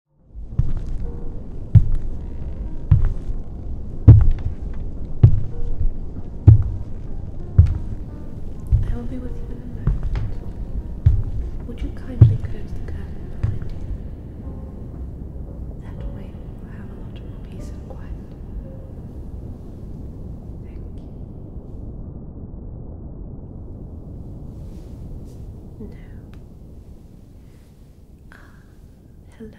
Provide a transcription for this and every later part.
I will be with you in a moment. Would you kindly close the curtain behind you? That way we will have a lot more peace and quiet. Thank you. Ah, hello.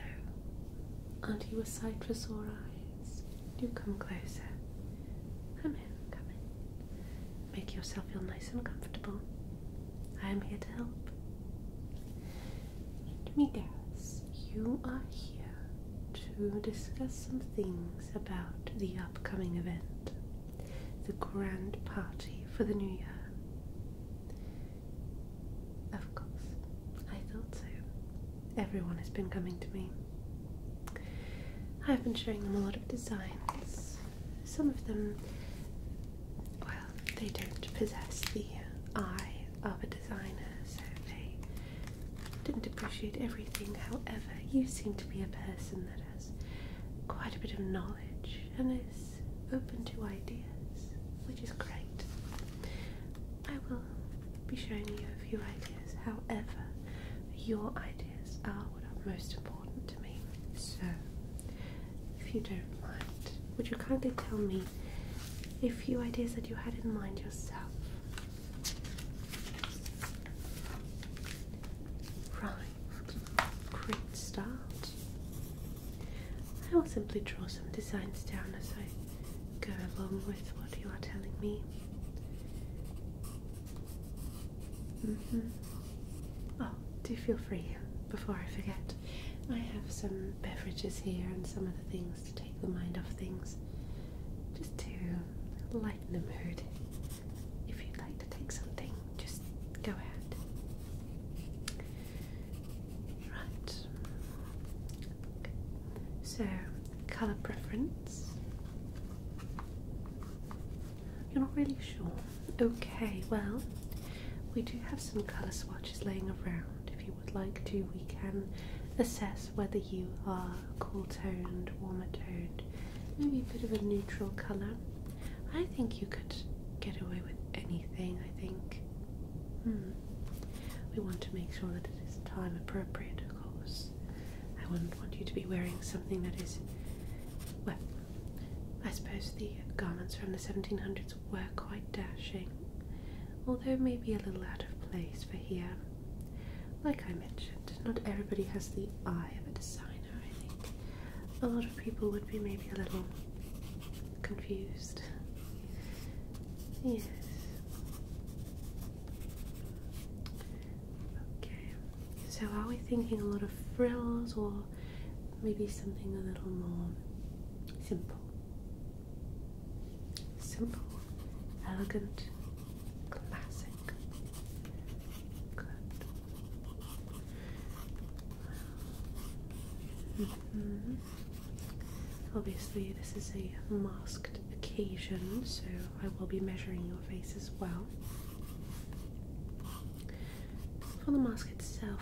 you a sight for sore eyes. Do come closer. Come in, come in. Make yourself feel nice and comfortable. I am here to help. Let me guess, you are here to discuss some things about the upcoming event, the grand party for the new year. Of course, I thought so. Everyone has been coming to me. I've been showing them a lot of designs. Some of them, well, they don't possess the eye of a designer, so they didn't appreciate everything. However, you seem to be a person that has quite a bit of knowledge and is open to ideas, which is great. I will be showing you a few ideas, however, your ideas are what are most important to me. So, if you don't mind, would you kindly tell me a few ideas that you had in mind yourself? Right great start. I will simply draw some designs down as I go along with what you are telling me. Mm -hmm. Oh, do feel free before I forget. I have some beverages here and some other things to take the mind off things, just to lighten the mood, if you'd like to take something, just go ahead. Right. So, colour preference. You're not really sure. Okay, well, we do have some colour swatches laying around. If you would like to, we can assess whether you are cool toned, warmer toned, maybe a bit of a neutral colour. I think you could get away with anything, I think. Hmm. We want to make sure that it is time appropriate, of course. I wouldn't want you to be wearing something that is. Well, I suppose the garments from the 1700s were quite dashing, although maybe a little out of place for here. Like I mentioned, not everybody has the eye of a designer, I think a lot of people would be maybe a little confused. Yes. Okay, so are we thinking a lot of frills or maybe something a little more simple? Simple, elegant, classic. Good. Mm-hmm. Obviously, this is a masked occasion, so I will be measuring your face as well. For the mask itself,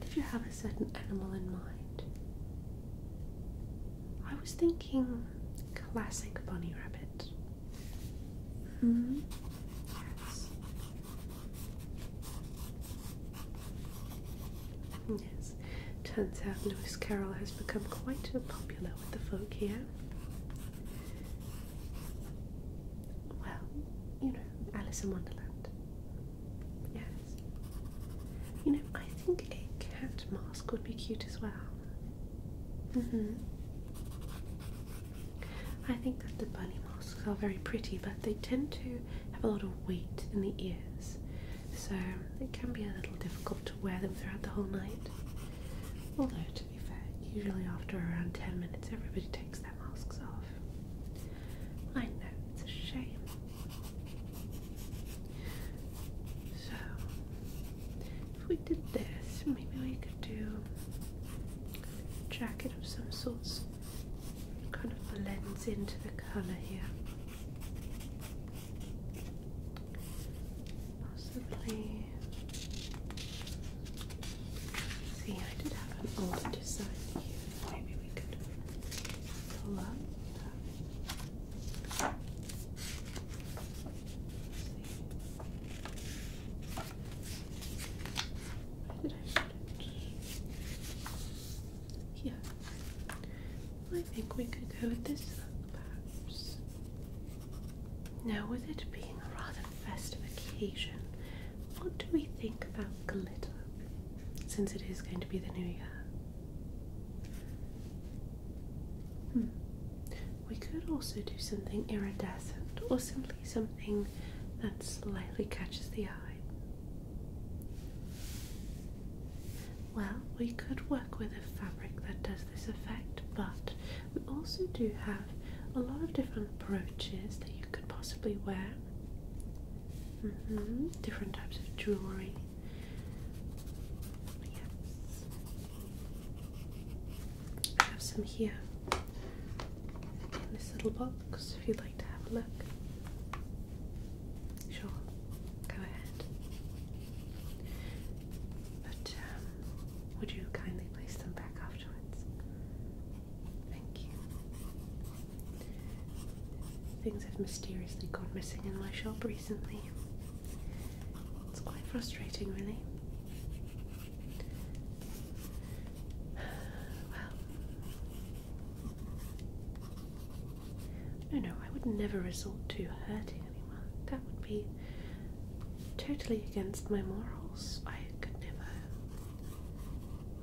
did you have a certain animal in mind? I was thinking classic bunny rabbit. hmm. Yes, turns out Lewis Carroll has become quite popular with the folk here. Well, you know, Alice in Wonderland. Yes. You know, I think a cat mask would be cute as well. Mm hmm. I think that the bunny masks are very pretty, but they tend to have a lot of weight in the ears, so it can be a little difficult to wear them throughout the whole night. Although, to be fair, usually after around 10 minutes, everybody takes their masks off. I know, it's a shame. So, if we did this, maybe we could do a jacket of some sorts kind of blends into the colour here. Possibly. See, I did have an older design here. Maybe we could pull up. Yeah. I think we could go with this perhaps. Now, with it being a rather festive occasion, what do we think about glitter? Since it is going to be the new year. Hmm. We could also do something iridescent or simply something that slightly catches the eye. Well, we could work with a fabric that does this effect, but we also do have a lot of different brooches that you could possibly wear. Mm-hmm, different types of jewellery. I have some here in this little box if you'd like to have a look. Sure, go ahead. But um, would you kindly place them back afterwards? Thank you. Things have mysteriously gone missing in my shop recently. It's quite frustrating, really. Well, no, no, I would never resort to hurting anyone. That would be totally against my morals. I could never.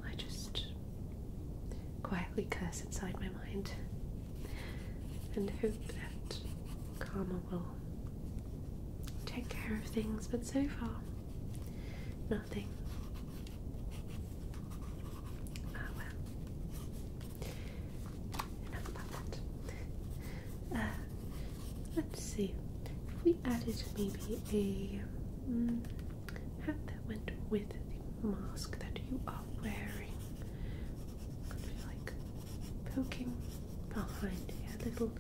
I just quietly curse inside my mind and hope that karma will take care of things, but so far Nothing. Ah, well. Enough about that. Uh, let's see. If we added maybe a mm, hat that went with the mask that you are wearing, could we like poking behind a little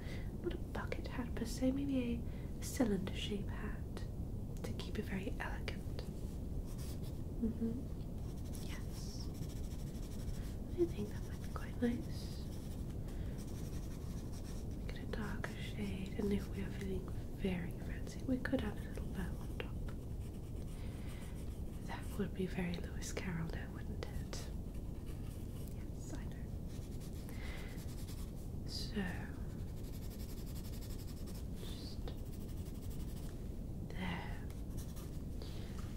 little, not a bucket hat per se, maybe a cylinder shaped hat to keep it very elegant. Mm-hmm. Yes. I think that might be quite nice. Get a darker shade, and if we are feeling very fancy, we could add a little bow on top. That would be very Lewis Carroll, now, wouldn't it? Yes, I so there.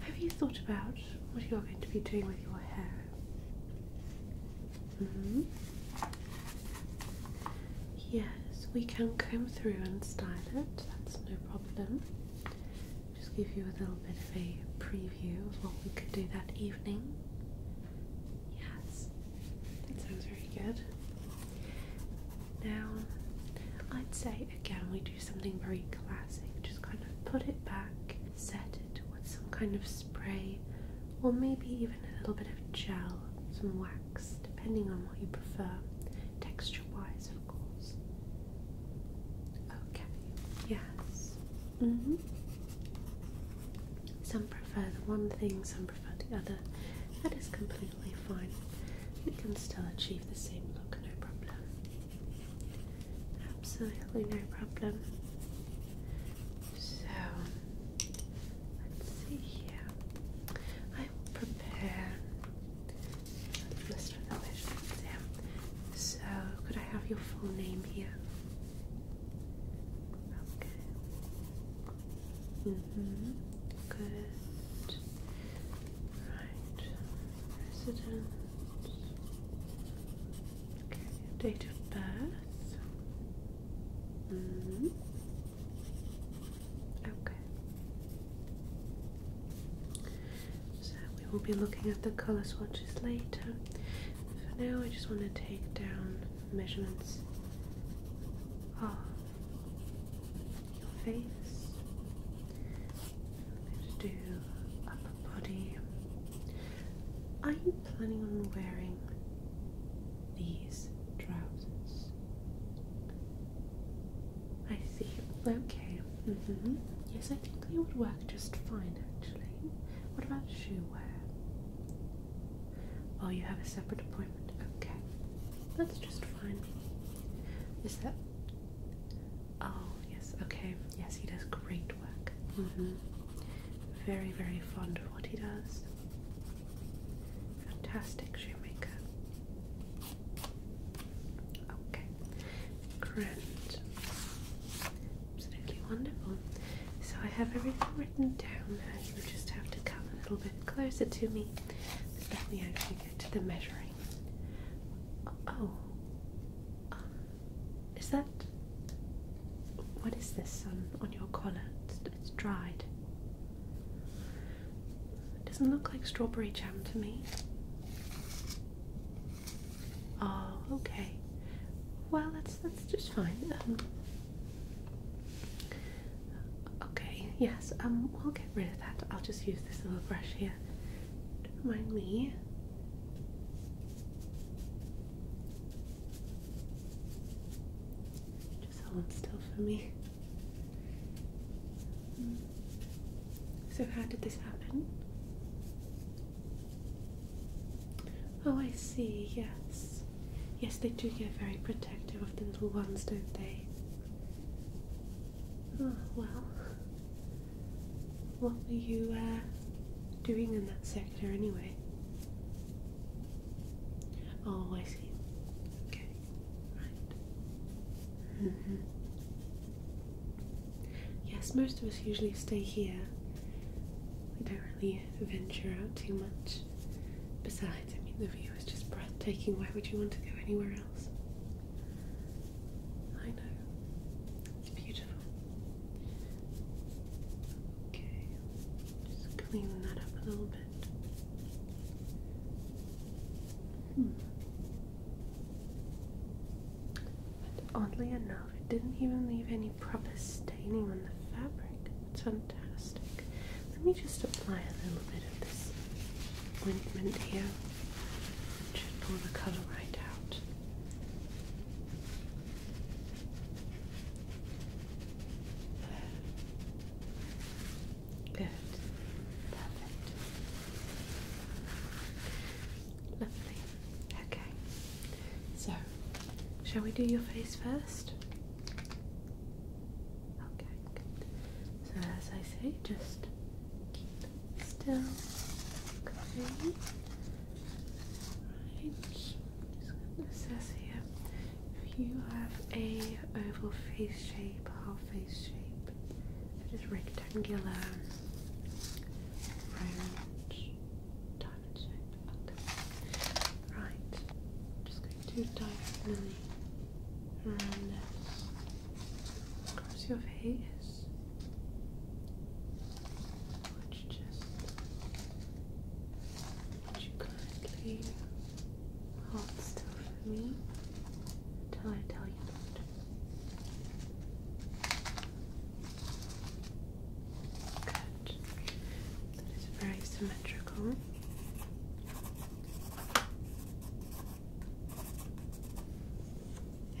Have you thought about what you're going to be doing with your hair? Mm-hmm. Yes, we can comb through and style it, that's no problem. Just give you a little bit of a preview of what we could do that evening. Yes, that sounds very good. Now, I'd say again we do something very classic. Just kind of put it back, set it with some kind of spray, or maybe even a little bit of gel, some wax, depending on what you prefer, texture wise, of course. Okay, yes. -hmm. Some prefer the one thing, some prefer the other. That is completely fine. We can still achieve the same look, no problem. Absolutely no problem. So, let's see here. I will prepare a list of So, could I have your full name here? Okay. Mm-hmm. Good. Right. Resident. Okay, date of birth. hmm Okay. So we will be looking at the colour swatches later. For now I just want to take down measurements of ah, your face. I'm do upper body. Are you planning on wearing these trousers? I see. Okay. Mm -hmm. Yes, I think they would work just fine actually. What about shoe wear? Oh, you have a separate appointment. Okay. That's just fine. Is that. Oh, yes. Okay. Yes, he does great work. Mm hmm. Very, very fond of what he does. Fantastic shoemaker. Okay. Grand. Absolutely wonderful. So I have everything written down. Now you just have to come a little bit closer to me. Let me actually get to the measuring. Oh, uh, is that what is this on on your collar? It's, dried. doesn't look like strawberry jam to me. Oh, okay. Well, that's that's just fine. Um, Okay, yes, um, we'll get rid of that. I'll just use this little brush here. Don't mind me. Just hold still for me. So, how did this happen? Oh, I see, yes. Yes, they do get very protective of the little ones, don't they? Oh, well, what were you uh, doing in that sector anyway? Oh, I see. Okay, right. Mm-hmm. Yes, most of us usually stay here. We don't really venture out too much. Besides, I mean, the view is just breathtaking. Why would you want to go anywhere else? I know. It's beautiful. Okay, just clean that up a little bit. Hmm. But oddly enough, it didn't even leave any proper staining on the fabric. It's fantastic. Let me just apply a little bit of this ointment here. Just pull the color right out. Good. Perfect. Lovely. Okay. So, shall we do your face first? Okay, So, as I say, just keep still. Okay. Right. Just gonna assess here. If you have a oval face shape, half face shape, that is rectangular, diamond shape. Okay. Right. I'm just going to diagonally around this across your face, which just which you kindly hold still for me until I tell you not. Good that is very symmetrical.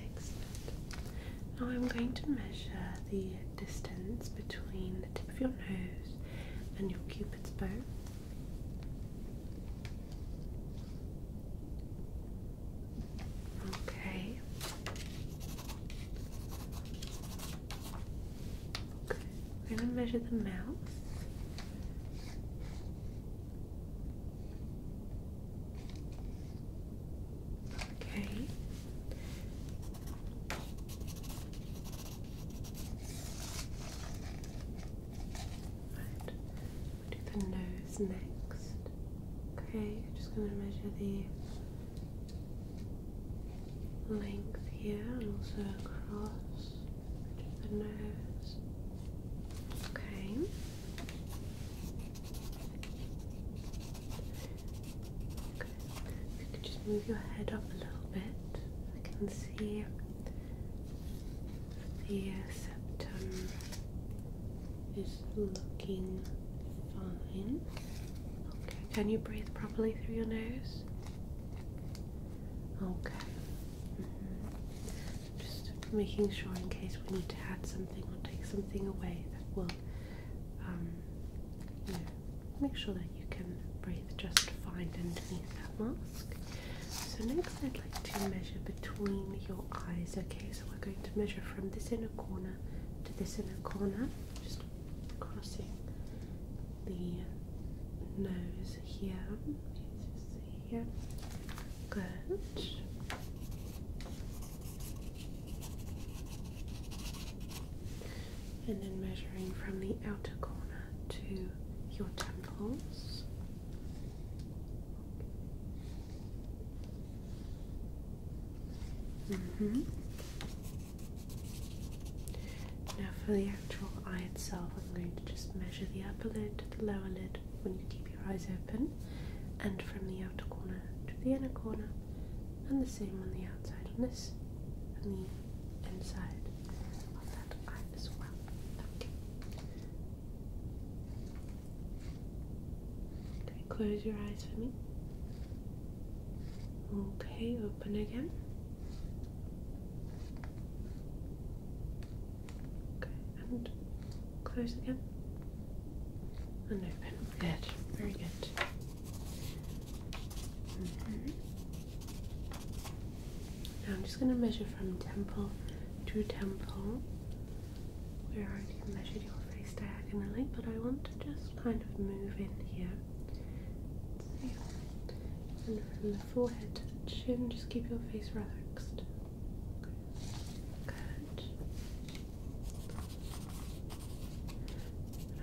Excellent. Now I'm going to measure the distance between the tip of your nose and your cupid's bow. Okay. We're going to measure the mouth. Okay. Right. we do the nose next. Okay, just going to measure the length here and also across the nose. Okay. Good. you could just move your head up a little bit, I can see the septum is looking fine. Okay, can you breathe properly through your nose? Okay. Mm-hmm. Just making sure in case we need to add something or take something away that will um, make sure that you can breathe just fine underneath that mask. So next I'd like to measure between your eyes, okay? So we're going to measure from this inner corner to this inner corner. Just crossing the nose here. Just Good. And then measuring from the outer corner to your temples. Mm hmm now, for the actual eye itself, I'm going to just measure the upper lid to the lower lid when you keep your eyes open, and from the outer corner to the inner corner, and the same on the outside on this and the inside of that eye as well. Okay. Okay, close your eyes for me. Okay, open open again. Okay, and close again. And open. Good. Very good. Mm-hmm. Now I'm just going to measure from temple to temple. We already measured your face diagonally, but I want to just kind of move in here and from the forehead to the chin, just keep your face relaxed. Good.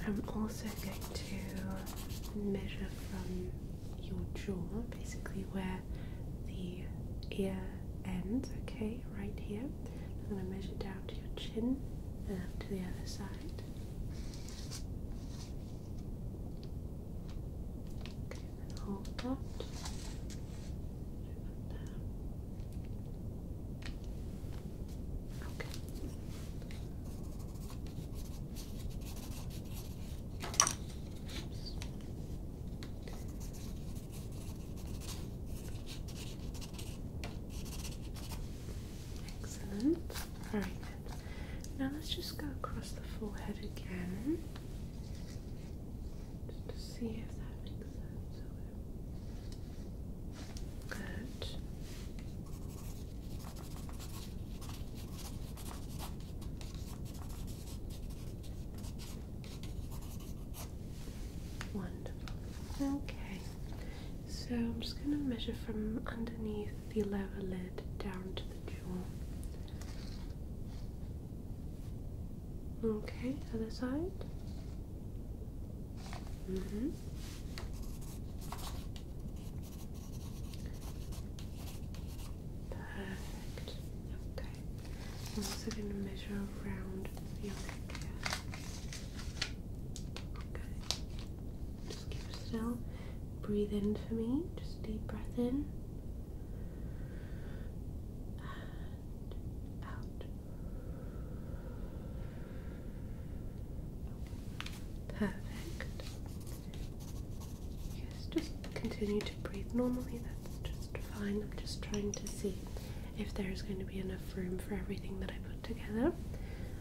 I'm also going to measure from your jaw, basically where the ear ends, okay, right here. I'm going to measure down to your chin and up to the other side. Okay, hold that. Okay. Excellent. All right. Now let's just go across the forehead again, just to see if that makes sense. Good. Wonderful. Okay. So I'm just going to measure from underneath the lower lid down to the jaw. Okay, other side. Mm-hmm. Perfect. Okay. I'm also going to measure around the other ear. Okay. Just keep still. Breathe in for me. Just deep breath in. out. Perfect. Yes, just continue to breathe normally. That's just fine. I'm just trying to see if there's going to be enough room for everything that I put together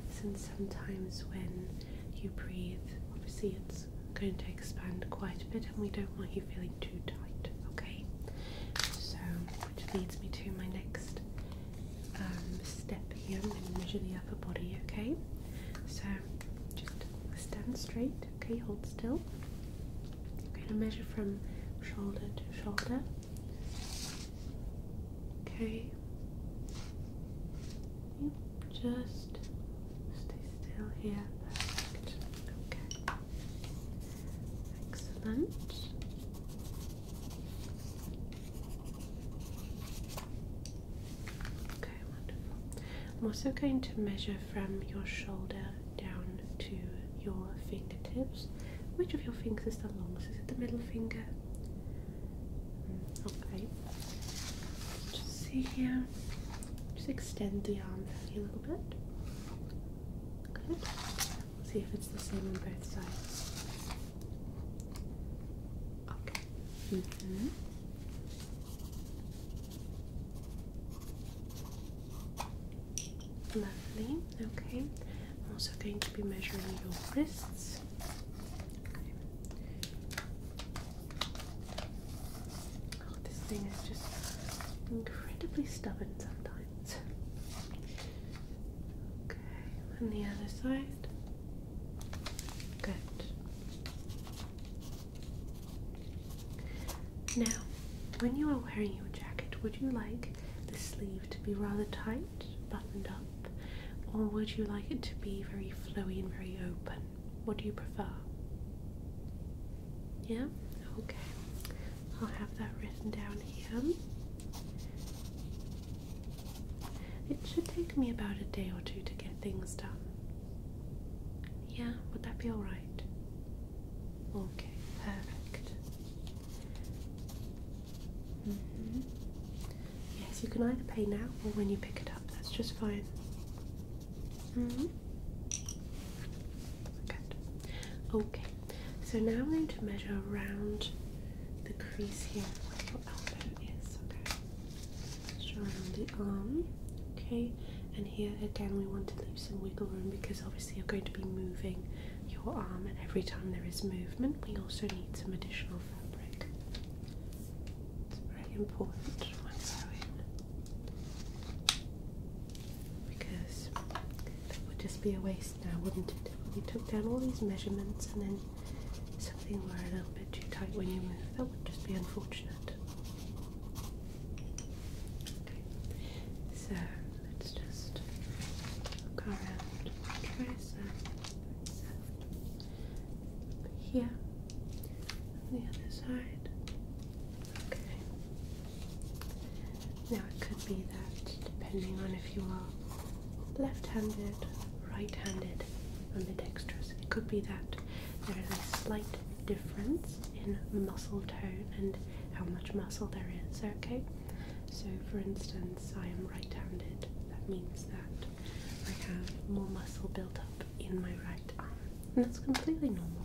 since sometimes when you breathe obviously it's going to expand quite a bit and we don't want you feeling too tight okay so which leads me to my next um, step here i'm going to measure the upper body okay so just stand straight okay hold still i'm going to measure from shoulder to shoulder Okay. Yep, just stay still here. Perfect. Okay. Excellent. Okay, wonderful. I'm also going to measure from your shoulder down to your fingertips. Which of your fingers is the longest? Is it the middle finger? Okay. Just see here. Just extend the arm a little bit. Good. See if it's the same on both sides. Okay. Mm-hmm. Lovely. Okay. I'm also going to be measuring your wrists. Oh, this thing is just incredibly stubborn sometimes. Okay, and the other side. Good. Now, when you are wearing your jacket, would you like the sleeve to be rather tight, buttoned up, or would you like it to be very flowy and very open? What do you prefer? Yeah? Okay. I'll have that written down here. It should take me about a day or two to get things done. Yeah, would that be alright? Okay, perfect. Mm -hmm. Yes, you can either pay now or when you pick it up. That's just fine. Mm-hmm. Good. Okay. So now I'm going to measure around the crease here where your elbow is. Okay. around the arm. Okay. And here again, we want to leave some wiggle room because obviously you're going to be moving your arm, and every time there is movement, we also need some additional fabric. It's very important because that would just be a waste now, wouldn't it? When you took down all these measurements and then something were a little bit too tight when you move, that would just be unfortunate. so let's just look around here on the other side. Okay. Now it could be that depending on if you are left-handed, right-handed, ambidextrous, it could be that there is a slight difference in muscle tone and how much muscle there is, okay? So for instance, I am right-handed. That means that I have more muscle built up in my right arm, and that's completely normal.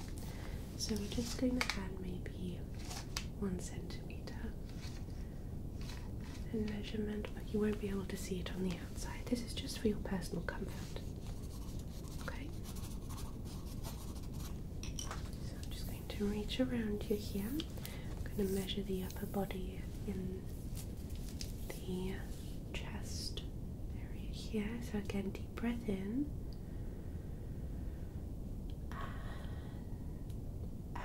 So we're just going to add maybe one centimeter in measurement, but you won't be able to see it on the outside. This is just for your personal comfort. Okay? So I'm just going to reach around you here. I'm going to measure the upper body in the chest area here. So, again, deep breath in out.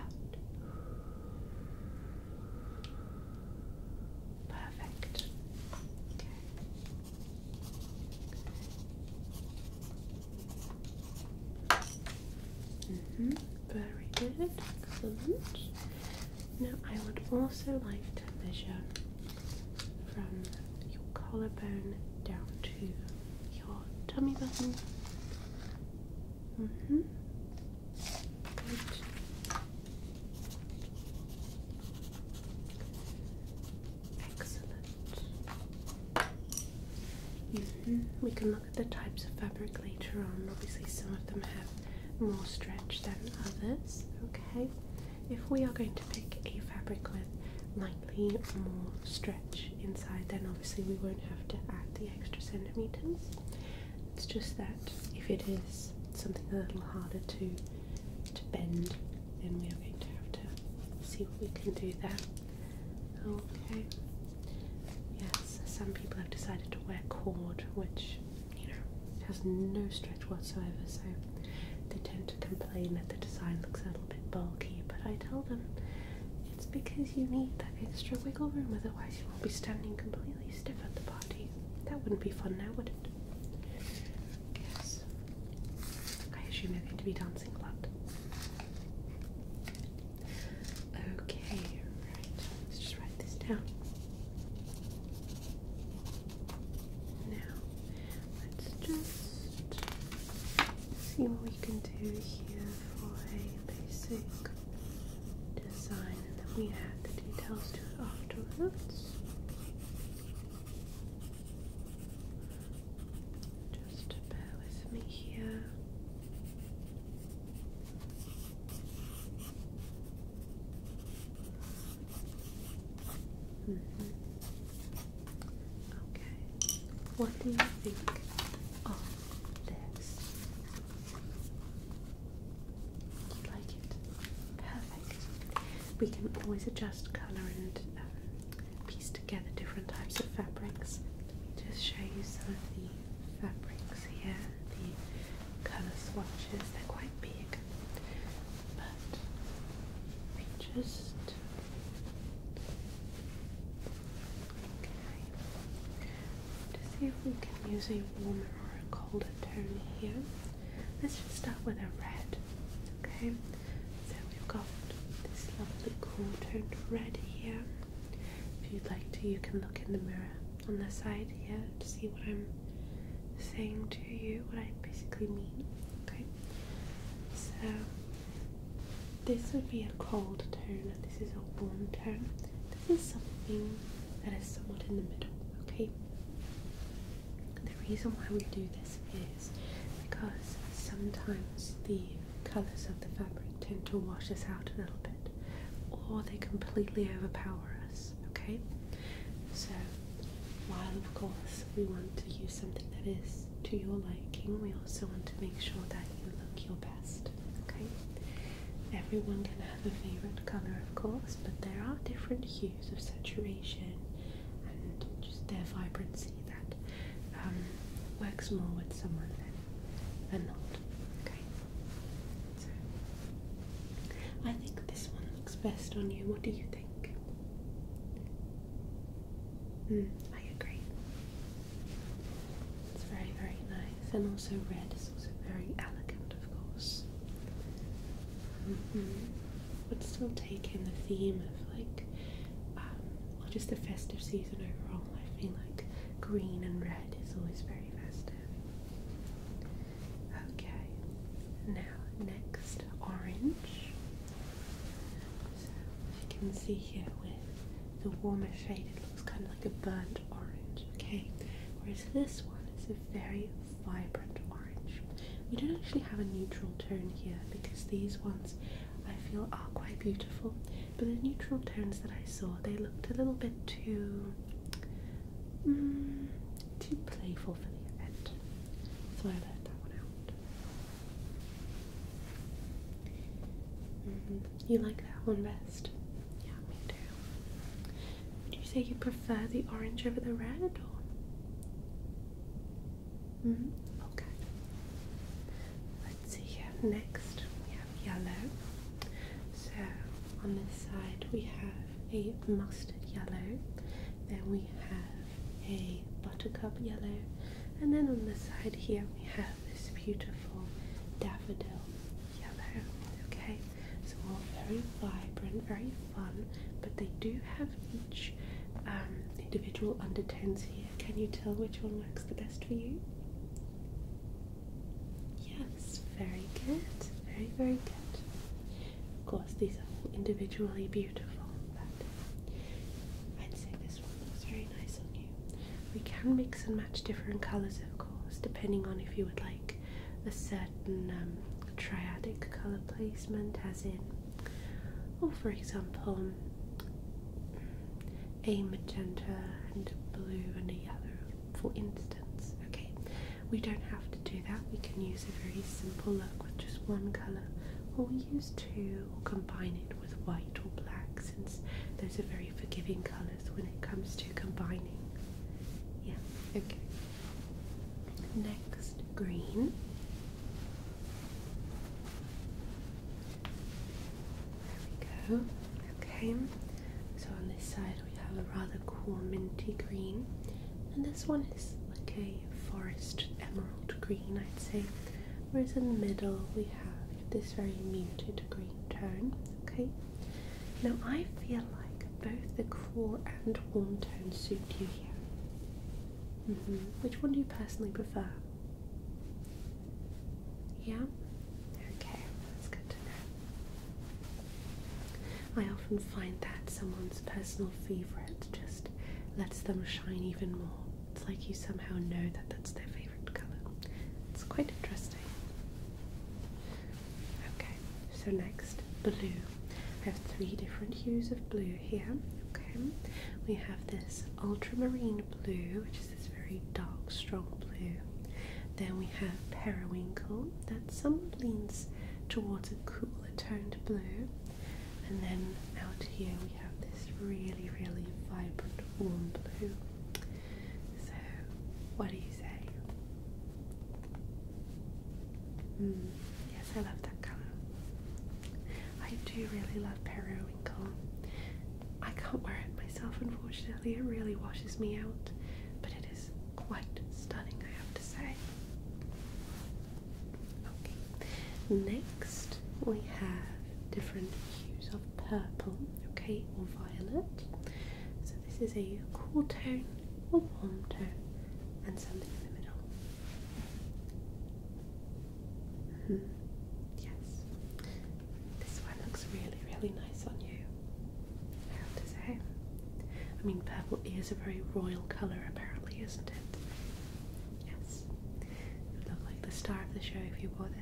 Perfect. Okay. Mm -hmm. Very good, excellent. Now I would also like to measure from your collarbone down to your tummy button. Mm -hmm. Excellent. Mm -hmm. We can the types of fabric later on. Obviously, some of them have more stretch than others. Okay, if we are going to pick a fabric with lightly more stretch inside, then obviously we won't have to add the extra centimeters. It's just that if it is something a little harder to to bend, then we are going to have to see what we can do there. Okay, Yes, some people have decided to wear cord, which, you know, has no stretch whatsoever, so they tend to complain that the design looks a little bit bulky, but I tell them it's because you need that extra wiggle room, otherwise you will not be standing completely stiff at the party. That wouldn't be fun now, would it? Yes. I assume they're going to be dancing a lot. Okay, right. Let's just write this down. Now, let's just see what we can do here for a basic design, and then we add the details to it afterwards. Just bear with me here. Mm-hmm. Okay, what do you think of this? like it? Perfect. We can always adjust colour and um, piece together different types of fabrics. Let me just show you some of the fabrics here, the colour swatches, they're quite big, but we just okay. to see if we can use a warmer or a colder tone here. Let's just start with a red. Okay, so we've got this lovely cool toned red here. If you'd like to, you can look in the mirror on the side here to see what I'm saying to you, what I basically mean. Okay, so this would be a cold tone, and this is a warm tone. This is something that is somewhat in the middle. Okay, the reason why we do this is because sometimes the colors of the fabric tend to wash us out a little bit or they completely overpower us. Okay, so while of course we want to use something that is to your liking, we also want to make sure that you look your best. Okay, everyone can have a favorite color, of course, but there are different hues of saturation and just their vibrancy that um, works more with someone I think this one looks best on you. What do you think? Hmm, I agree. It's very, very nice, and also red is also very elegant, of course. Would mm-hmm. still take in the theme of like, or um, just the festive season overall. I feel like green and red is always very festive. Okay, now next orange. you can see here with the warmer shade it looks kind of like a burnt orange, okay? Whereas this one is a very vibrant orange. We don't actually have a neutral tone here because these ones I feel are quite beautiful but the neutral tones that I saw they looked a little bit too mm, too playful for the event, so I let that one out. Mm-hmm. You like that one best? Yeah, me too. Would you say you prefer the orange over the red, or? Mm -hmm. Okay. Let's see here. Next we have yellow. So on this side we have a mustard yellow, then we have a buttercup yellow, and then on the side here we have this beautiful daffodil yellow. Okay, so all very vibrant, very fun, but they do have each um, individual undertones here. Can you tell which one works the best for you? Yes, very good. Very, very good. Of course, these are individually beautiful, I'd say this one looks very nice on you. We can mix and match different colours, of course, depending on if you would like a certain um, triadic colour placement, as in, or for example, a magenta and blue and a yellow for instance. Okay, we don't have to do that. We can use a very simple look with just one colour, or we use two, or combine it with white or black, since those are very forgiving colours when it comes to combining. Yeah, okay. Next, green. There we go. Okay, so on this side we have a rather cool minty green, and this one is like a forest emerald green, I'd say. Whereas in the middle we have this very muted green tone. Okay. Now I feel like both the cool and warm tone suit you here. Mm-hmm. Which one do you personally prefer? Yeah. Okay, that's good to know. I often find that someone's personal favourite just lets them shine even more. It's like you somehow know that that's their favourite colour. It's quite interesting. Okay, so next, blue. I have three different hues of blue here. Okay, we have this ultramarine blue, which is this very dark, strong blue. Then we have periwinkle that somewhat leans towards a cooler toned blue. And then out here we have this really, really vibrant warm blue. So, what do you say? Hmm, yes, I love that colour. I do really love periwinkle. I can't wear it myself, unfortunately, it really washes me out but it is quite stunning, I have to say. Okay, next we have different hues of purple, okay, or violet. So this is a cool tone, or warm tone, and something in the middle. Hmm. Yes, this one looks really, really nice on you. I to say. I mean, purple is a very royal colour, apparently, isn't it? Yes. You look like the star of the show if you wore this.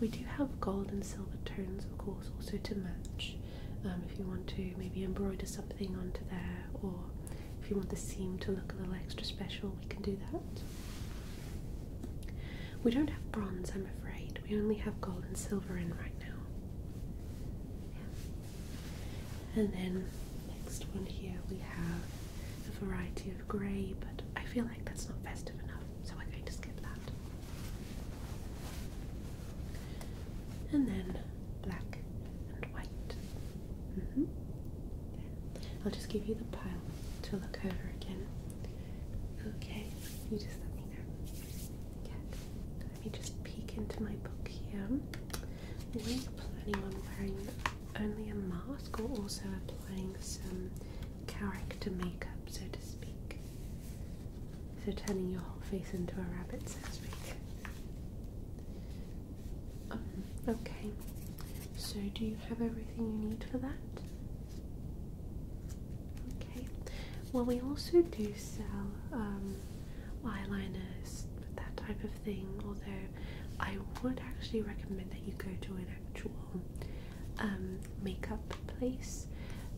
We do have gold and silver tones, of course, also to match. Um, if you want to maybe embroider something onto there, or if you want the seam to look a little extra special, we can do that. We don't have bronze, I'm afraid. We only have gold and silver in right now. And then next one here we have a variety of grey, but I feel like that's not festive enough, so we're going to skip that. And then black and white. Mm-hmm. I'll just give you the pile to look over again. Okay, let me just peek into my book here. Were you planning on wearing only a mask or also applying some character makeup, so to speak? So turning your whole face into a rabbit, so to speak. Um, okay. So do you have everything you need for that? Well, we also do sell um, eyeliners, that type of thing. Although I would actually recommend that you go to an actual um, makeup place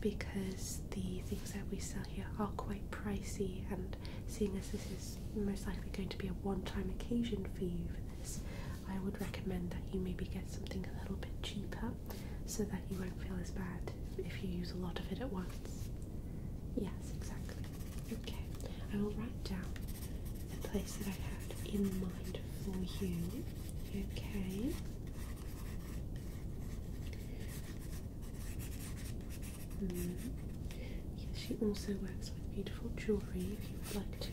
because the things that we sell here are quite pricey. And seeing as this is most likely going to be a one-time occasion for you for this, I would recommend that you maybe get something a little bit cheaper so that you won't feel as bad if you use a lot of it at once. Yes, exactly. Okay, I will write down the place that I have in mind for you. Okay. Mm-hmm. she also works with beautiful jewellery if you would like to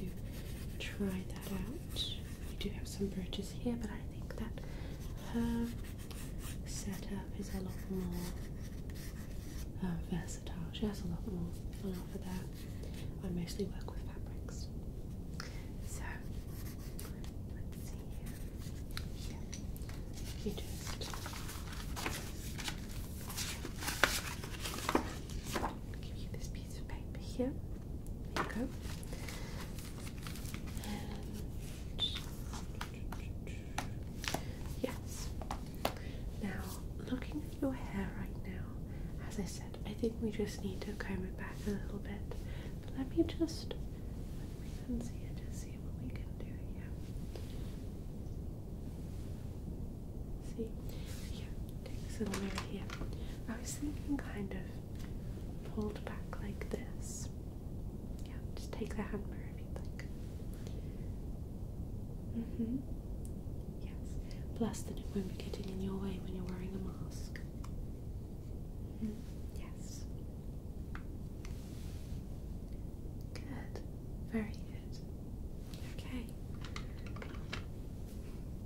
try that out. We do have some bridges here, but I think that her setup is a lot more uh, versatile. She has a lot more on offer there. I mostly work with fabrics. So, here. Yeah. You just give you this piece of paper here. There you go. yes. Now, looking at your hair right now, as I said, I think we just need to comb it back a little bit. But let me just let me unsee it to see what we can do here. See, yeah, take this little mirror here. I was thinking kind of pulled back like this. Yeah, just take the mirror if you'd like. Mm-hmm. Yes. Plus then it won't be getting in your way when you're wearing a mask. -hmm. Yes. Good. Very good. Okay.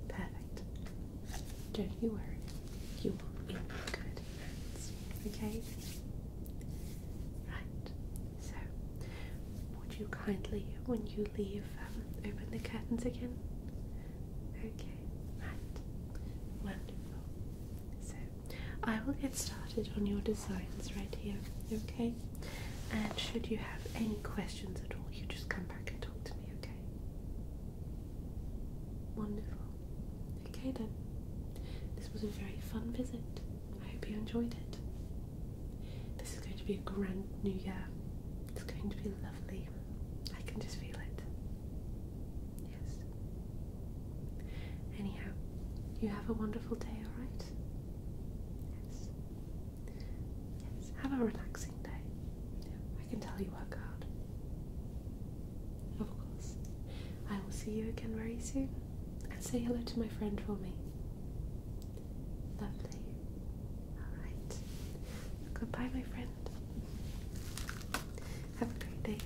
Perfect. Don't you worry, you will be good Okay? Right. So, would you kindly, when you leave, um, open the curtains again? Okay. Right. Wonderful. So, I will get started on your designs right here. Okay? And should you have any questions at all, you just come back and talk to me. Okay? Wonderful. Okay then. This was a very fun visit. I hope you enjoyed it. This is going to be a grand new year. It's going to be lovely. I can just feel it. Yes. Anyhow, you have a wonderful day, alright? Yes. Yes. Have a relaxing day. I can tell you are God. Of course. I will see you again very soon. And say hello to my friend for me. Lovely. Alright. Goodbye, my friend. Have a great day.